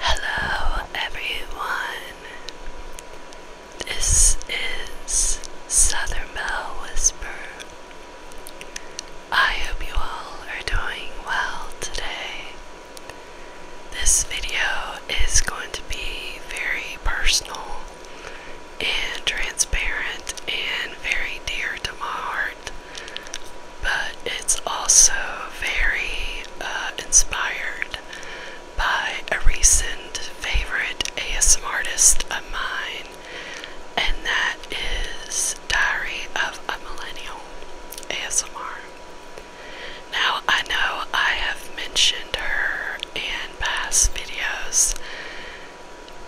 Hello, everyone. This is Southern Bell Whisper. I hope you all are doing well today. This video is going to be very personal and transparent and very dear to my heart but it's also very uh, inspired by a recent favorite ASMR artist of mine, and that is Diary of a Millennial ASMR. Now, I know I have mentioned her in past videos,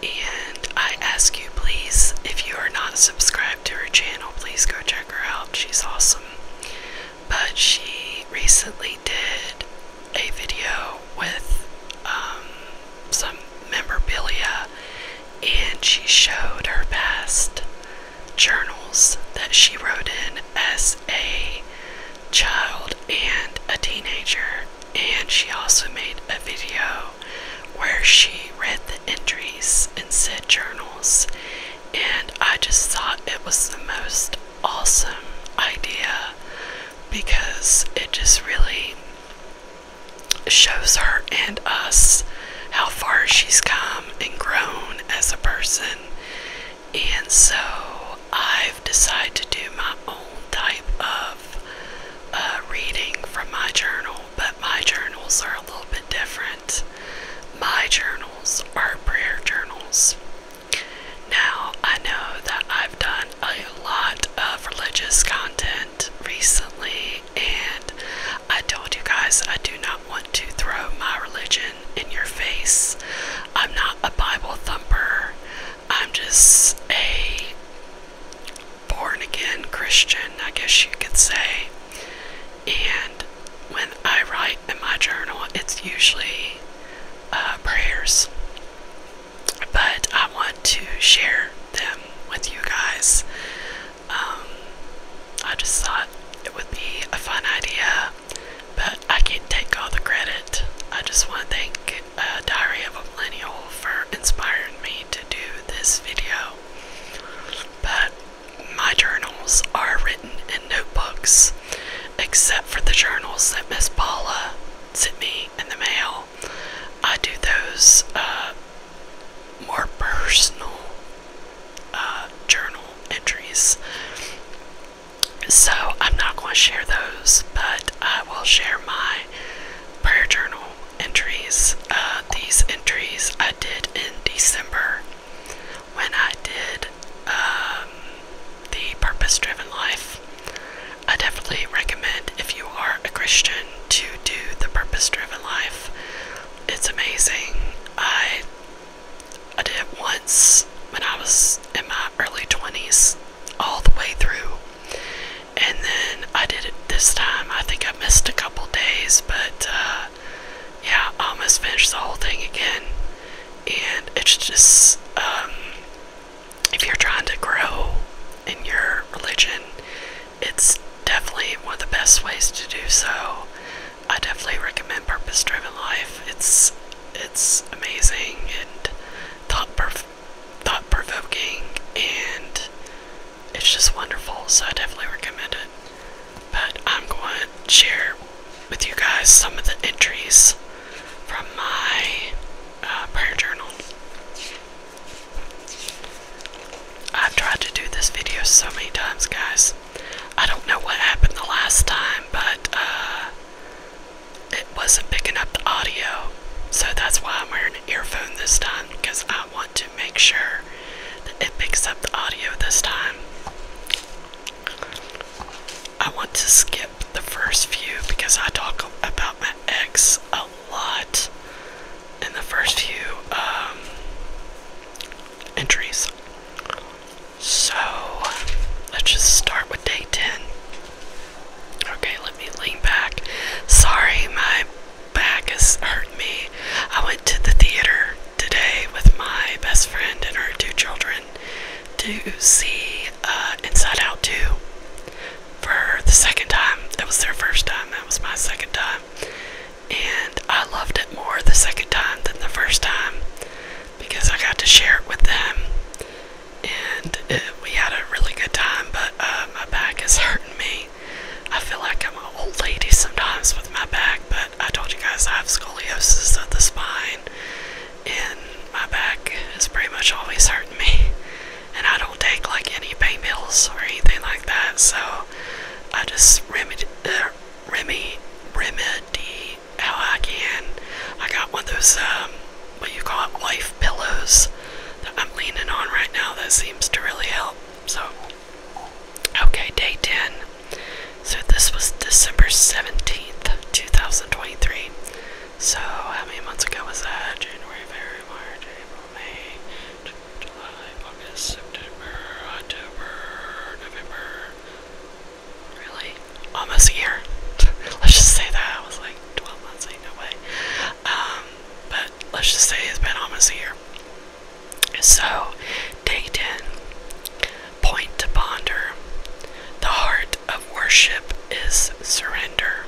and I ask you please, if you are not subscribed to her channel, please go check She's awesome. But she recently did a video with um, some memorabilia and she showed her past journals that she wrote in as a child and a teenager. And she also made a video where she read the entries in said journals, and I just thought it was the most awesome idea because it just really shows her and us how far she's come and grown as a person. And so I've decided to do my own type of uh, reading from my journal, my journals are a little bit different. My journals are prayer journals. Now, I know that I've done a lot of religious content recently, and I told you guys I do not want to throw my religion in your face. I'm not a Bible thumper, I'm just a born again Christian, I guess you could say. And when I write in my journal, it's usually uh, prayers. But I want to share them with you guys. Um, I just thought it would be a fun idea, but I can't take all the credit. I just want to thank uh, Diary of a Millennial for inspiring me to do this video. But my journals are written in notebooks, except for the journals that Miss Paula sent me in the mail. I do those uh, more personal uh, journal entries. So I'm not going to share those, but I will share my prayer journal entries. Uh, these entries I did in December when I did um, the Purpose Driven Life. I definitely recommend if you are a Christian to do the Purpose Driven Life. It's amazing. I I did it once when I was in my early 20s all the way through. And then I did it this time. I think I missed a couple days, but uh, yeah, almost finished the whole thing again. And it's just, um, if you're trying to grow in your religion, it's definitely one of the best ways to do so. I definitely recommend Purpose Driven Life. It's it's amazing and thought prov- thought provoking and it's just wonderful, so I definitely recommend it. But I'm going to share with you guys some of the entries from my uh, prayer journal. I've tried to do this video so many times, guys. I don't know what happened the last time, but uh, it wasn't picking up the audio. So that's why I'm wearing an earphone this time because I want to make sure it picks up the audio this time. I want to skip the first few because I talk about my ex a lot in the first few um, entries. So let's just start with day 10. Okay, let me lean back. Sorry, my back is hurting me. I went to the theater today with my best friend and her two children to see uh, Inside Out 2 for the second time. It was their first time, that was my second time. And I loved it more the second time than the first time because I got to share it with them. And uh, we had a really good time, but uh, my back is hurting me. I feel like I'm an old lady sometimes with my back, but I told you guys I have scoliosis of the spine, and my back is pretty much always hurting me. And I don't take like any pain pills or anything like that, so I just remedy, uh, remedy, remedy how I can. I got one of those, um, what you call it, life pillows that I'm leaning on right now that seems to really help. So. Okay, day 10. So this was December 17th, 2023. So how many months ago was that? January, February, March, April, May, July, August, September, October, November. Really? Almost a year. Let's just say that. I was like 12 months, ain't no way. Um, but let's just say it's been almost a year. So, day 10 Point to ponder. The heart of worship is surrender.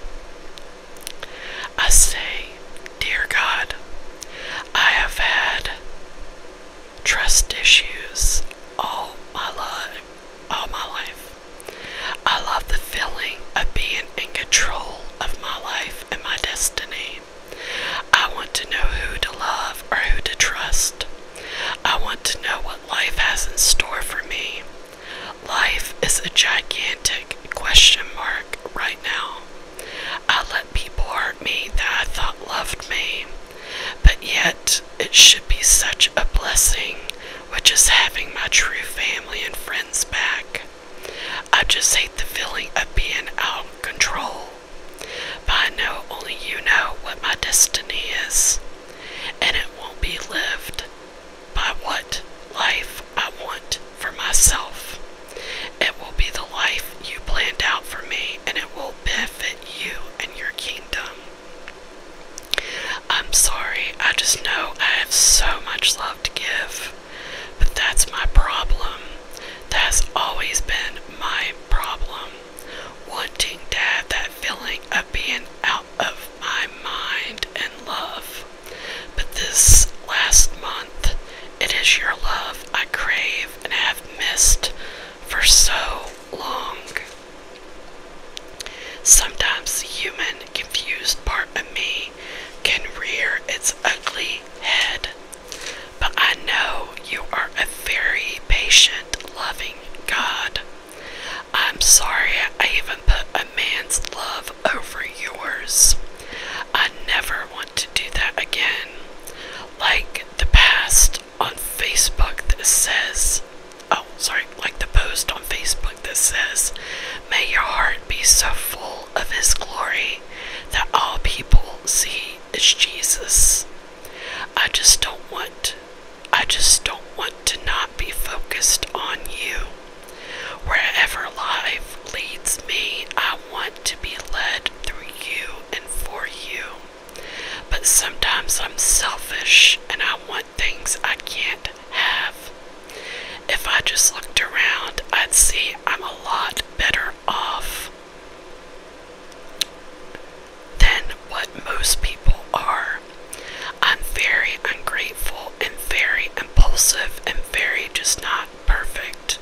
I say, Dear God, I have had trust issues all my life. All my life. I love the feeling of being in control of my life and my destiny. I want to know who to love or who to trust. I want to know what life has in store for me. Life is a gigantic question mark right now. I let people hurt me that I thought loved me, but yet it should be such a blessing, which is having my true family and friends back. I just hate the feeling of being out of control. But I know only you know what my destiny is, and it won't be lived by what life I want for myself. It will be the life you planned out for me, and it will benefit you and your kingdom. I'm sorry, I just know I have so much love to give. But that's my problem. That's always been my problem. Wanting to have that feeling of being out of my mind and love. But this last month, it is your love I crave and have missed for so long. Sometimes human confused part of me can rear its ugly head. But I know you are a very patient, loving God. I'm sorry I even put a man's love over yours. I never want to do that again. Like the past on Facebook that says, oh, sorry, like the post on Facebook that says, May your heart be so full of his glory that all people see is Jesus. I just don't want I just don't want to not be focused on you. Wherever life leads me, I want to be led through you and for you. But sometimes I'm selfish and I want things I can't have. If I just looked around, I'd see I'm a lot better off than what most people are. I'm very ungrateful and very impulsive and very just not perfect.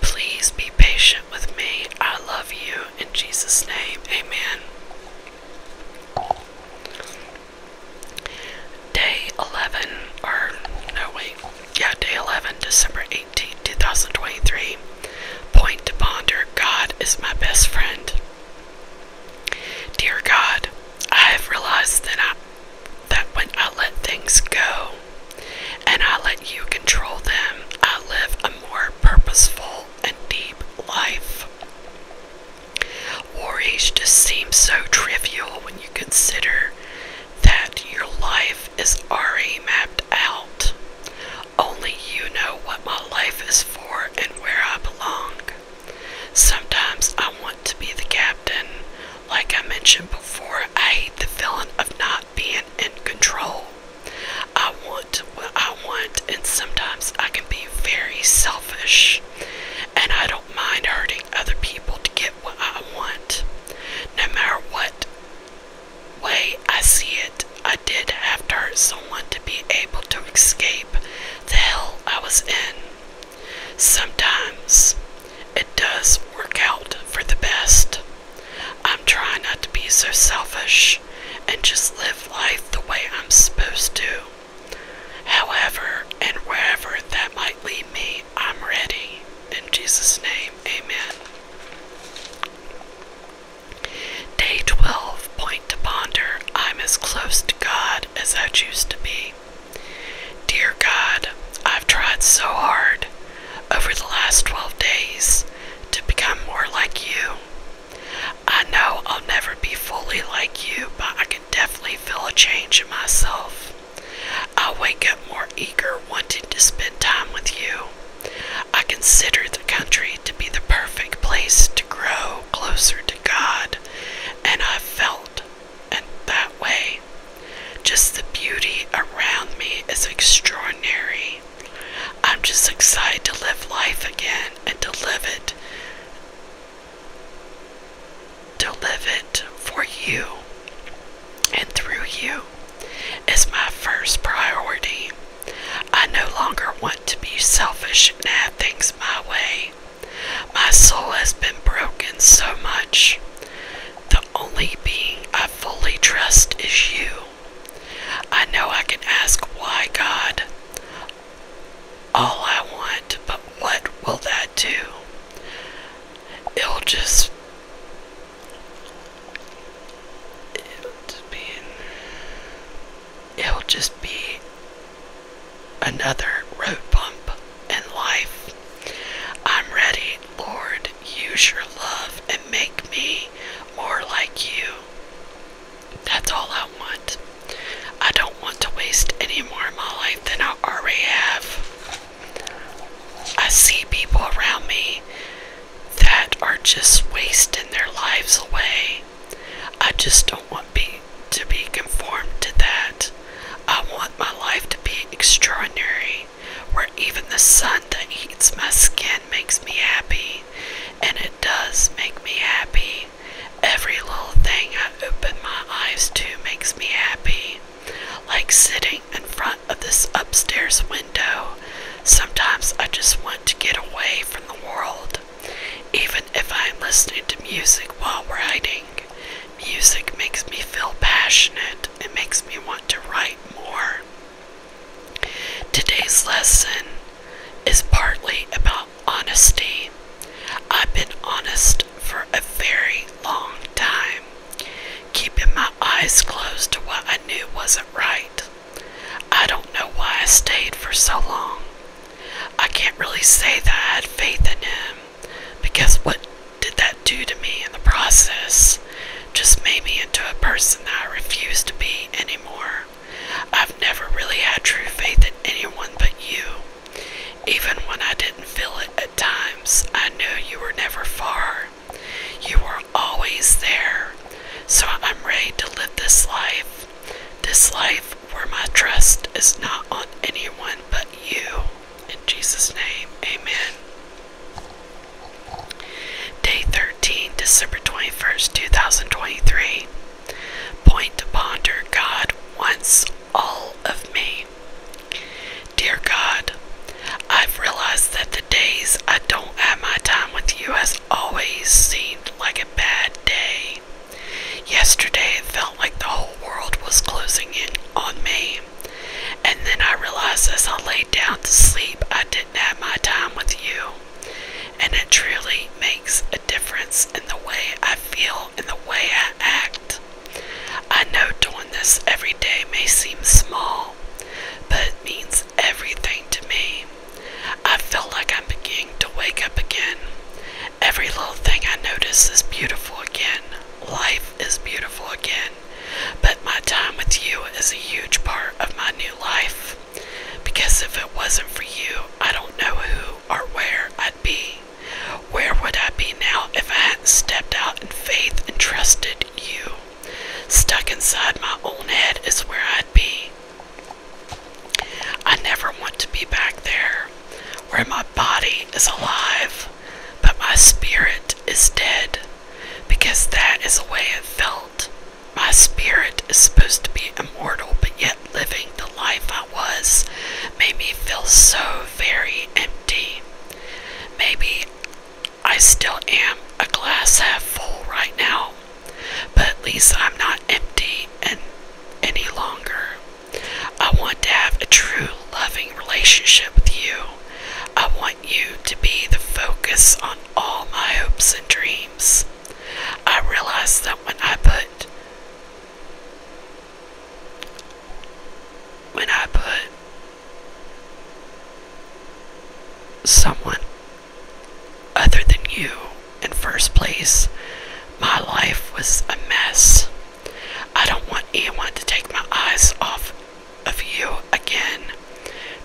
Please be patient with me. I love you. In Jesus' name, amen. Day 11, or no, wait, yeah, day 11, December 18, 2023. Point to ponder God is my best friend. Dear God, I have realized that, I, that when I let things go and I let you control them, I live a more purposeful and deep life. Worries just seem so trivial when you consider that your life is already mapped out. Only you know what my life is for and where I belong. Sometimes I want to be the captain. Like I mentioned before, I hate the feeling of not being in control. I want what I want, and sometimes I can be very selfish and I don't mind hurting other people to get what I want. No matter what way I see it, I did have to hurt someone to be able to escape the hell I was in. Sometimes it does work out for the best. I'm trying not to be so selfish and just live life the way I'm supposed to. However, and wherever that might lead me, I'm ready. In Jesus' name, amen. Day 12 Point to Ponder I'm as close to God as I choose to be. Dear God, I've tried so hard over the last 12 days to become more like you. I know I'll never be fully like you, but I can definitely feel a change in myself. I wake up more eager, wanting to spend time with you. I consider the country to be the perfect place to grow closer to God, and I felt and that way. Just the beauty around me is extraordinary. I'm just excited to live life again and to live it to live it for you and through you is my first priority. I no longer want to be selfish and have things my way. My soul has been broken so much. The only being I fully trust is you. I know I can ask why, God, all I want, but what will that do? it'll just be it'll just be another road bump in life. I'm ready, Lord, use your love and make me more like you. That's all I want. I don't don't want to waste any more of my life than I already have. I see people around me that are just wasting their lives away. I just don't want be, to be conformed to that. I want my life to be extraordinary, where even the sun that heats my skin makes me happy, and it does make me happy. Every little thing I open my eyes to makes me happy, like sitting in front of this upstairs window. Sometimes I just want to get away from the world, even if I'm listening to music while writing. Music makes me feel passionate, it makes me want to write more. Today's lesson is partly about honesty. I've been honest for a very long time, keeping my eyes closed to what I knew wasn't right. I don't know why I stayed for so long. I can't really say that I had faith in him because what did that do to me in the process? Just made me into a person that I refuse to be anymore. I've never really had true faith in anyone but you. Even when I didn't feel it at times, I knew you were never far. You were always there. So I'm ready to live this life. This life where my trust is not on anyone but you. In Jesus' name, amen. Day 13, December 21st, 2023. Point to ponder God once all of me. Dear God, I've realized that the days I don't have my time with you has always seemed like a bad day. Yesterday, it felt like the whole world was closing in on me. And then I realized as I laid down to sleep, I didn't have my time with you. And it truly makes a difference in the way I feel and the way I act. I know doing this every day may seem small, but it means everything to me. I feel like I'm beginning to wake up again. Every little thing I notice is beautiful again. Life is beautiful again. But my time with you is a huge part of my new life. Because if it wasn't for you, I don't know who or where I'd be. Where would I be now if I hadn't stepped out in faith and trusted you? Stuck inside my own head is where I'd be. I never want to be back there, where my body is alive, but my spirit is dead, because that is the way it felt. My spirit is supposed to be immortal, but yet living the life I was made me feel so very empty. Maybe I still am a glass half full right now, but at least I'm not empty and any longer. I want to have a true loving relationship with you. I want you to be the focus on all my hopes and dreams. I realize that when I put when I put someone other than you in first place, my life was a mess. I don't want anyone to take my eyes off of you again.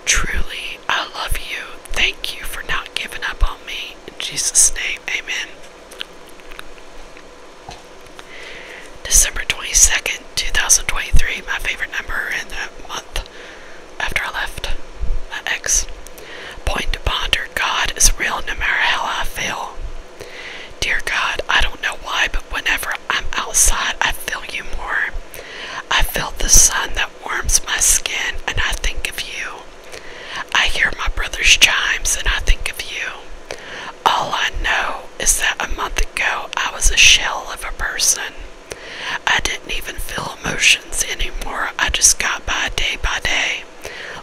Truly, I love you. Thank you for not giving up on me. In Jesus' name, amen. December 22nd, 2023, my favorite number in the month after I left my ex. Point to ponder God is real no matter how I feel. Dear God, I don't know why, but whenever I'm outside, I feel you more. I feel the sun that warms my skin, and I think of you. I hear my brother's chimes and I think of you. All I know is that a month ago I was a shell of a person. I didn't even feel emotions anymore. I just got by day by day,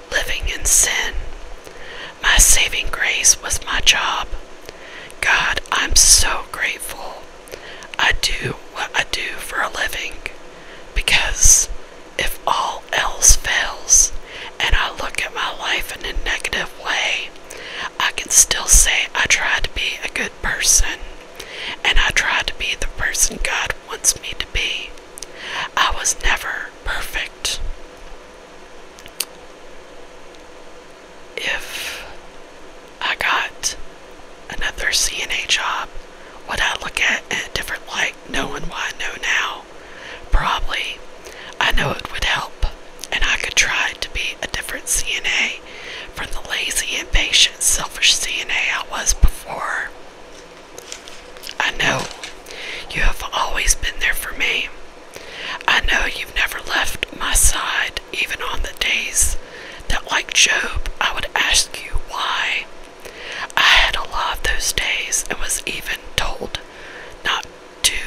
living in sin. My saving grace was my job. God, I'm so grateful. I do what I do for a living because if all else fails and I look at my life in a negative way, I can still say I tried to be a good person and I tried to be the person God wants me to be. I was never perfect. If I got another CNA job, would I look at it in a different light knowing what I know now? Probably. I know it would help, and I could try to be a different CNA from the lazy, impatient, selfish CNA I was before. I know you have always been there for me. I know you've never left my side, even on the days that, like Job, I would ask you why. I had a lot of those days and was even told not to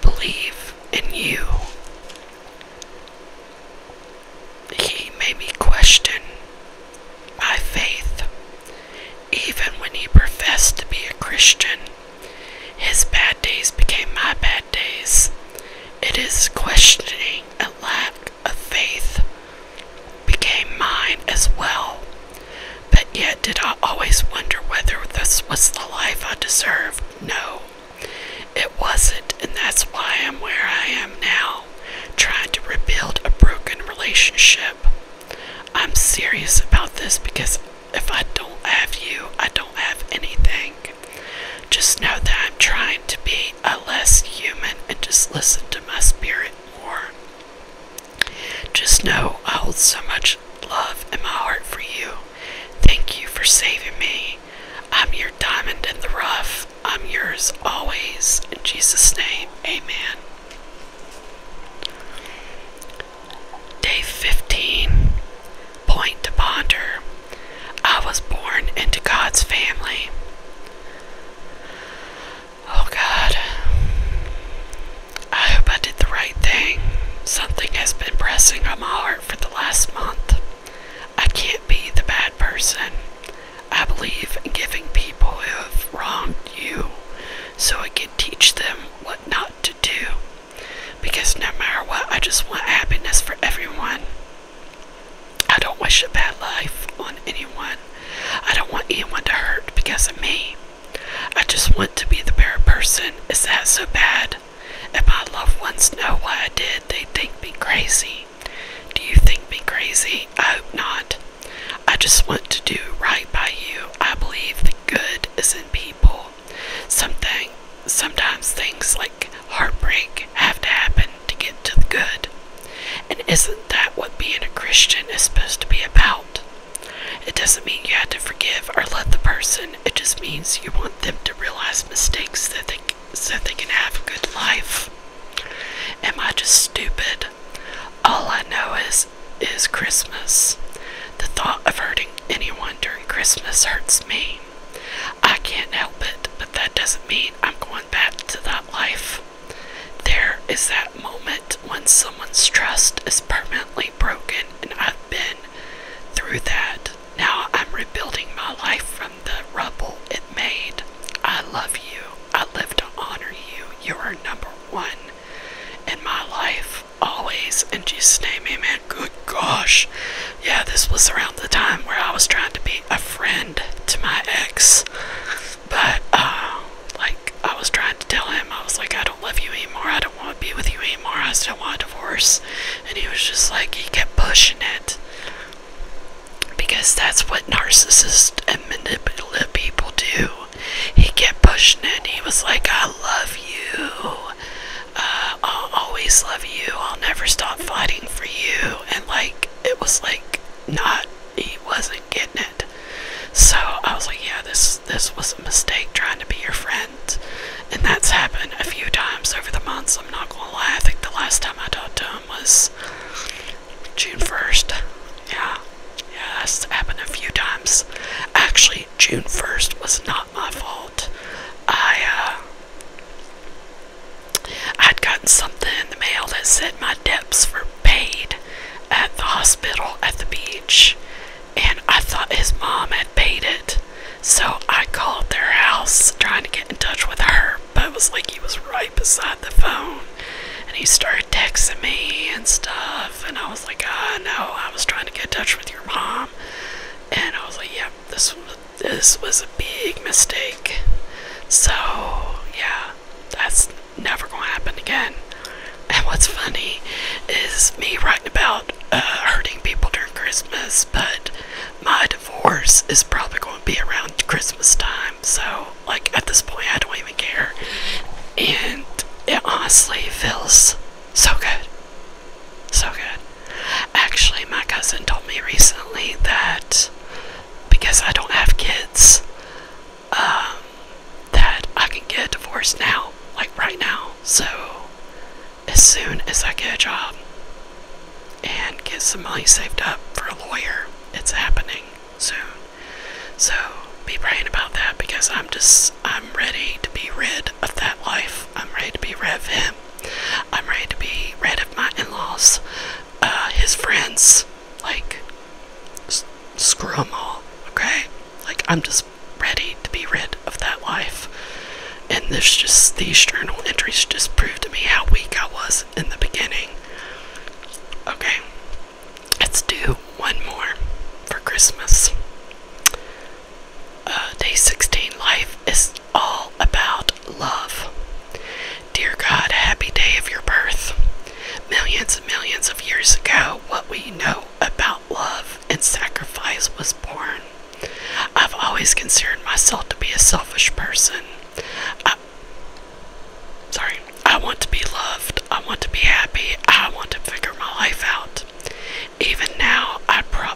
believe in you. He made me question my faith. Even when he professed to be a Christian, his bad days became my bad days. It is questioning and lack lack of faith became mine as well. But yet, did I always wonder whether this was the life I deserved? No, it wasn't, and that's why I'm where I am now, trying to rebuild a broken relationship. I'm serious about this because if I don't have you, I don't have anything. Just know that I'm trying to be a less human and just listen to my spirit more. Just know I hold so much love in my heart for you. Thank you for saving me. I'm your diamond in the rough. I'm yours always. In Jesus' name, amen. Day 15 Point to Ponder. I was born into God's family. Oh God. I hope I did the right thing. Something has been pressing on my heart for the last month. I can't be the bad person. I believe giving people who have wronged you so I can teach them what not to do. Because no matter what, I just want happiness for everyone. I don't wish a bad life on anyone anyone. I don't want anyone to hurt because of me. I just want to be the better person. Is that so bad? If my loved ones know what I did, they think me crazy. Do you think me crazy? I hope not. I just want to do right by you. I believe the good is in people. Something, sometimes things like heartbreak have to happen to get to the good. And isn't that what being a Christian is supposed to be about? It doesn't mean you have to forgive or let the person. It just means you want them to realize mistakes that they, so they can have a good life. Am I just stupid? All I know is is Christmas. The thought of hurting anyone during Christmas hurts me. I can't help it, but that doesn't mean I'm going back to that life. There is that moment when someone's trust is permanently broken, and I've been through that. Now I'm rebuilding my life from the rubble it made. I love you. I live to honor you. You are number one in my life, always. In Jesus' name, amen. Good gosh. Yeah, this was around the time where I was trying to be a friend to my ex. But, uh, like, I was trying to tell him, I was like, I don't love you anymore. I don't want to be with you anymore. I still want a divorce. And he was just like, he kept pushing it. Because that's what narcissists and manipulative people do. He kept pushing it. He was like, I love you. Uh, I'll always love you. I'll never stop fighting for you. And, like, it was like, not, he wasn't getting it. So I was like, yeah, this this was a mistake trying to be your friend. And that's happened a few times over the months, I'm not gonna lie. I think the last time I talked to him was June 1st. Yeah. Yeah, that's happened a few times. Actually, June 1st was not my fault. I uh, I'd gotten something in the mail that said my debts were paid at the hospital at the beach, and I thought his mom had paid it. So I called their house trying to get in touch with her, but it was like he was right beside the phone. And he started texting me and stuff, and I was like, ah no, I was trying to get in touch with your mom. And I was like, yep, yeah, this, this was a big mistake. So, yeah, that's never gonna happen again. And what's funny is me writing about uh, hurting people during Christmas, but my divorce is probably gonna be around Christmas time, so like at this point, I don't even care. And it honestly feels so good. So good. Actually, my cousin told me recently that because I don't have kids um, that I can get divorced now, like right now. So as soon as I get a job and get some money saved up for a lawyer, it's happening soon. So be praying about that because I'm just I'm ready to be rid of that life. I'm ready to be rid of him. I'm ready to be rid of my in-laws, uh, his friends, like, s screw them all, okay? Like, I'm just ready to be rid of that life. And this just, these journal entries just proved to me how weak I was in the beginning. Okay, let's do one more for Christmas. Uh, day 16 life is all about love. Dear God, happy day of your birth. Millions and millions of years ago, what we know about love and sacrifice was born. I've always considered myself to be a selfish person. I, sorry, I want to be loved. I want to be happy. I want to figure my life out. Even now, I pro.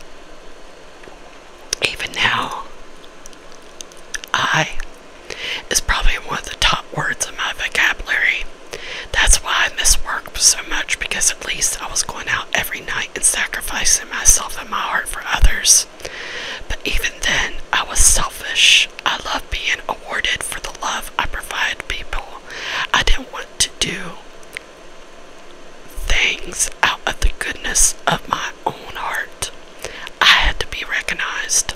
Even now, I is probably one of the top words in my vocabulary. That's why I miss work so much because at least I was going out every night and sacrificing myself and my heart for others. But even then, I was selfish. I love being awarded for the love I provide people. I didn't want to do things out of the goodness of my own heart. I had to be recognized.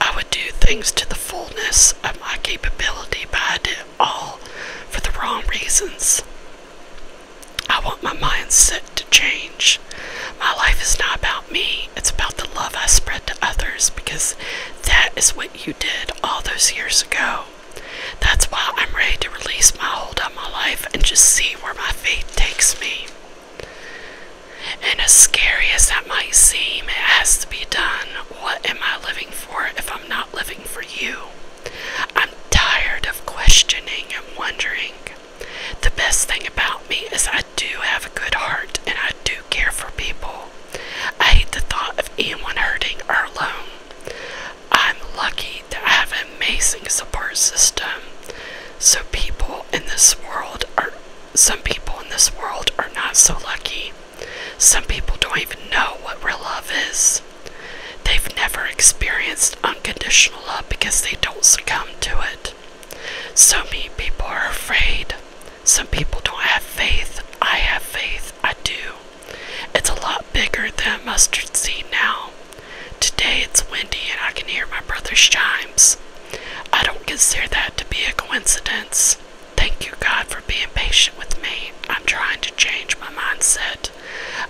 I would do things to the fullness of my capability, but I did all for the wrong reasons. I want my mindset to change. My life is not about me, it's about the love I spread to others because that is what you did all those years ago. That's why I'm ready to release my hold on my life and just see where my fate takes me. And as scary as that might seem, it has to be done. What am I living for if I'm not living for you? I'm tired of questioning and wondering. The best thing about me is I do have a good heart and I do care for people. I hate the thought of anyone hurting or alone. I'm lucky that I have an amazing support system. So people in this world are some people in this world are not so lucky. Some people don't even know what real love is. They've never experienced unconditional love because they don't succumb to it. So many people are afraid. Some people don't have faith. I have faith. I do. It's a lot bigger than a mustard seed now. Today it's windy and I can hear my brother's chimes. I don't consider that to be a coincidence. Thank you, God, for being patient with me. I'm trying to change my mindset.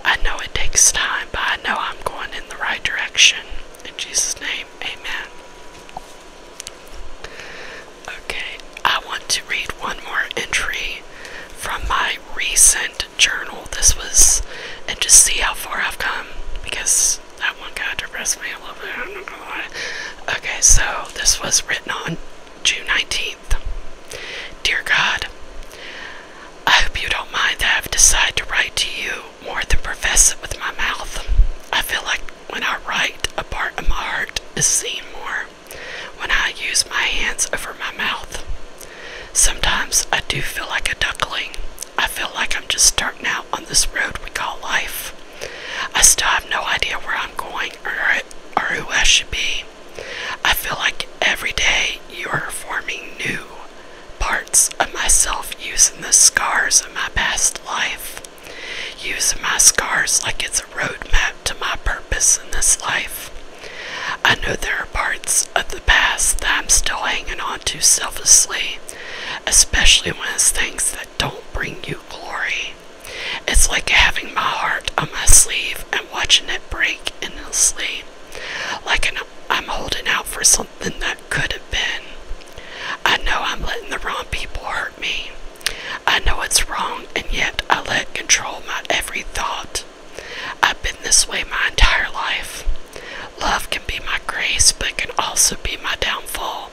I know it takes time, but I know I'm going in the right direction. In Jesus' name, amen. Okay, I want to read one more entry from my recent journal. This was, and just see how far I've come because that one guy depressed me a little bit. I'm not Okay, so this was written on June 19th. Dear God, I hope you don't mind that I've decided to write to you more than profess it with my mouth. I feel like when I write, a part of my heart is seen more when I use my hands over my mouth. Sometimes I do feel like a duckling, I feel like I'm just starting out on this road we call life. I still have no idea where I'm going or, or who I should be. I feel like every day you are forming new parts of myself using the scars of my past life, using my scars like it's a roadmap to my purpose in this life. I know there are parts of the past that I'm still hanging on to selflessly especially when it's things that don't bring you glory. It's like having my heart on my sleeve and watching it break in endlessly, like I'm holding out for something that could have been. I know I'm letting the wrong people hurt me. I know it's wrong, and yet I let control my every thought. I've been this way my entire life. Love can be my grace, but can also be my downfall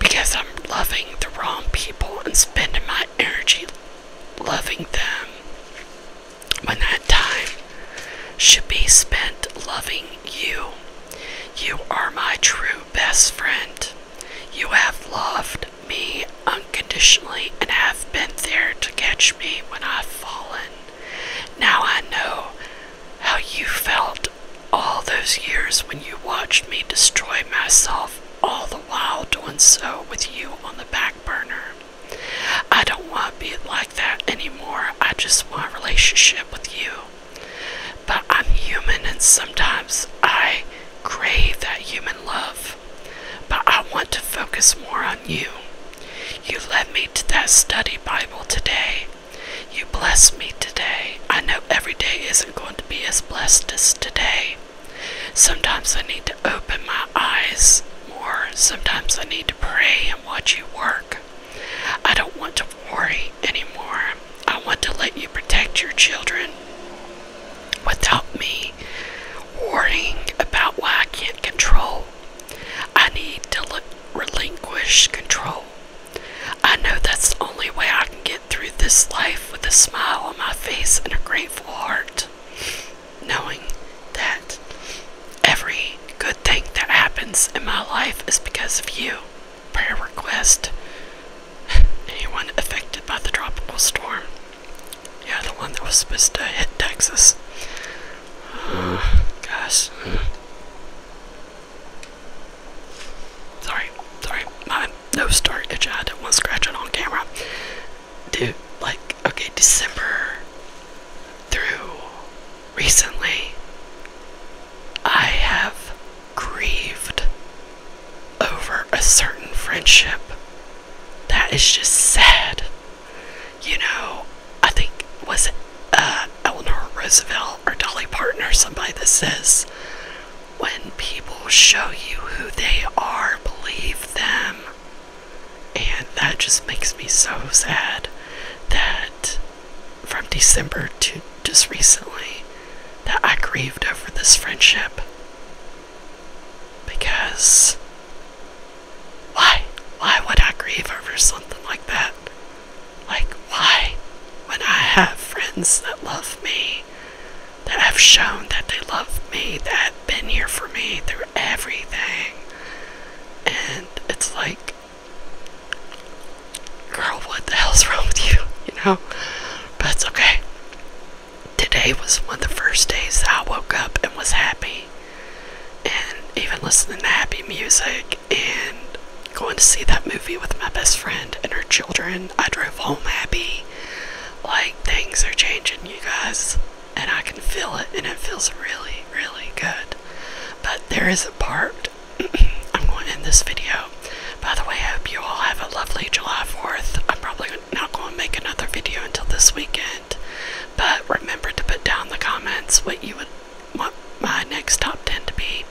because I'm loving the wrong people and spending my energy loving them when that time should be spent loving you. You are my true best friend. You have loved me unconditionally and have been there to catch me when I've fallen. Now I know how you felt all those years when you watched me destroy myself, all the while doing so with you on the back burner. I don't want to be like that anymore. I just want a relationship with you. But I'm human and sometimes I crave that human love. But I want to focus more on you. You led me to that study Bible today. You blessed me today. I know every day isn't going to be as blessed as today. Sometimes I need to open my eyes more. Sometimes I need to pray and watch you work. I don't want to worry anymore. I want to let you protect your children without me worrying about why I can't control I need to relinquish control. I know that's the only way I can get through this life with a smile on my face and a grateful heart, knowing that every good thing that happens in my life is because of you. Prayer request. Anyone affected by the tropical storm? Yeah, the one that was supposed to hit Texas. Guys. Sorry, sorry, no nose started itching. I didn't want to scratch it on camera. Dude, like, okay, December through recently, I have grieved over a certain friendship that is just sad you know, I think was it uh, Eleanor Roosevelt or Dolly Parton or somebody that says, when people show you who they are, believe them. And that just makes me so sad that from December to just recently that I grieved over this friendship because why? Why would I grieve over something like that? Like, why? When I have friends that love me, that have shown that they love me, that have been here for me through everything. And it's like, girl, what the hell's wrong with you? You know? But it's okay. Today was one of the first days I woke up and was happy and even listening to happy music and going to see that movie with my best friend and her children. I drove home happy. Like things are changing, you guys, and I can feel it, and it feels really, really good. But there is a part. I'm going to end this video. By the way, I hope you all have a lovely July 4th. I'm probably not going to make another video until this weekend. But remember to put down the comments what you would want my next top 10 to be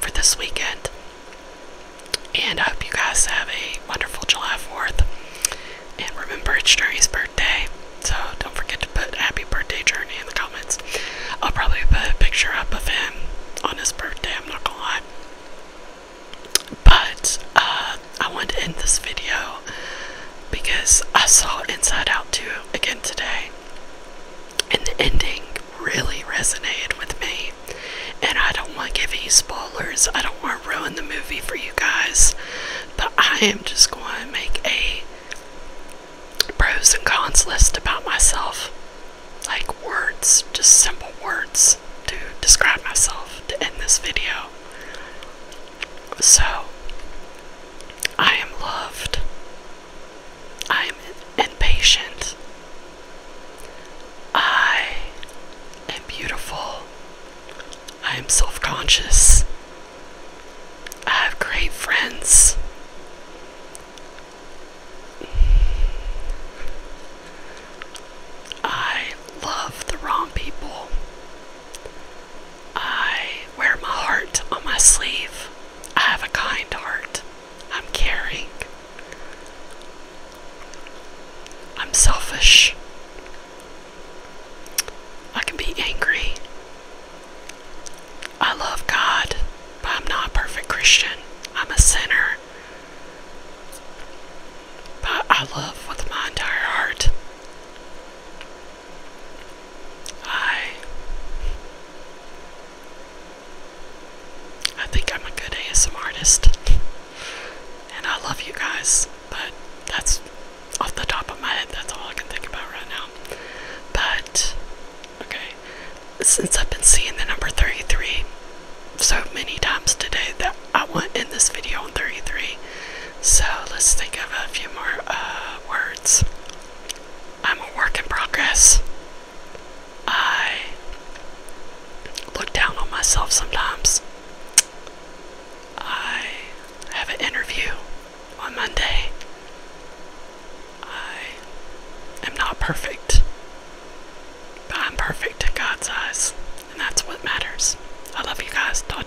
for this weekend. And I hope you guys have a wonderful July 4th. And remember, it's Journey's birthday, so don't forget to put happy birthday, Journey, in the comments. I'll probably put a picture up of him on his birthday, I'm not gonna lie. But uh, I want to end this video because I saw Inside Out 2 again today, and the ending really resonated with me. And I don't want to give you spoilers, I don't want to ruin the movie for you guys, but I am just going to make a pros and cons list about myself. Like words, just simple words to describe myself to end this video. So, I am loved. I am impatient. I am beautiful. I am self conscious. I have great friends. I love the wrong people. I wear my heart on my sleeve. I have a kind heart. I'm caring. I'm selfish. I can be angry. I love God, but I'm not a perfect Christian. I'm a sinner. But I love with my entire heart. I I think I'm a good ASM artist. and I love you guys, but that's off the top of my head, that's all I can think about right now. But okay. Since I've been seeing the number 33 so many times today that I want in this video on 33. So let's think of a few more uh, words. I'm a work in progress. I look down on myself sometimes. I have an interview on Monday. I am not perfect, but I'm perfect in God's eyes, and that's what matters. I love you guys. Talk to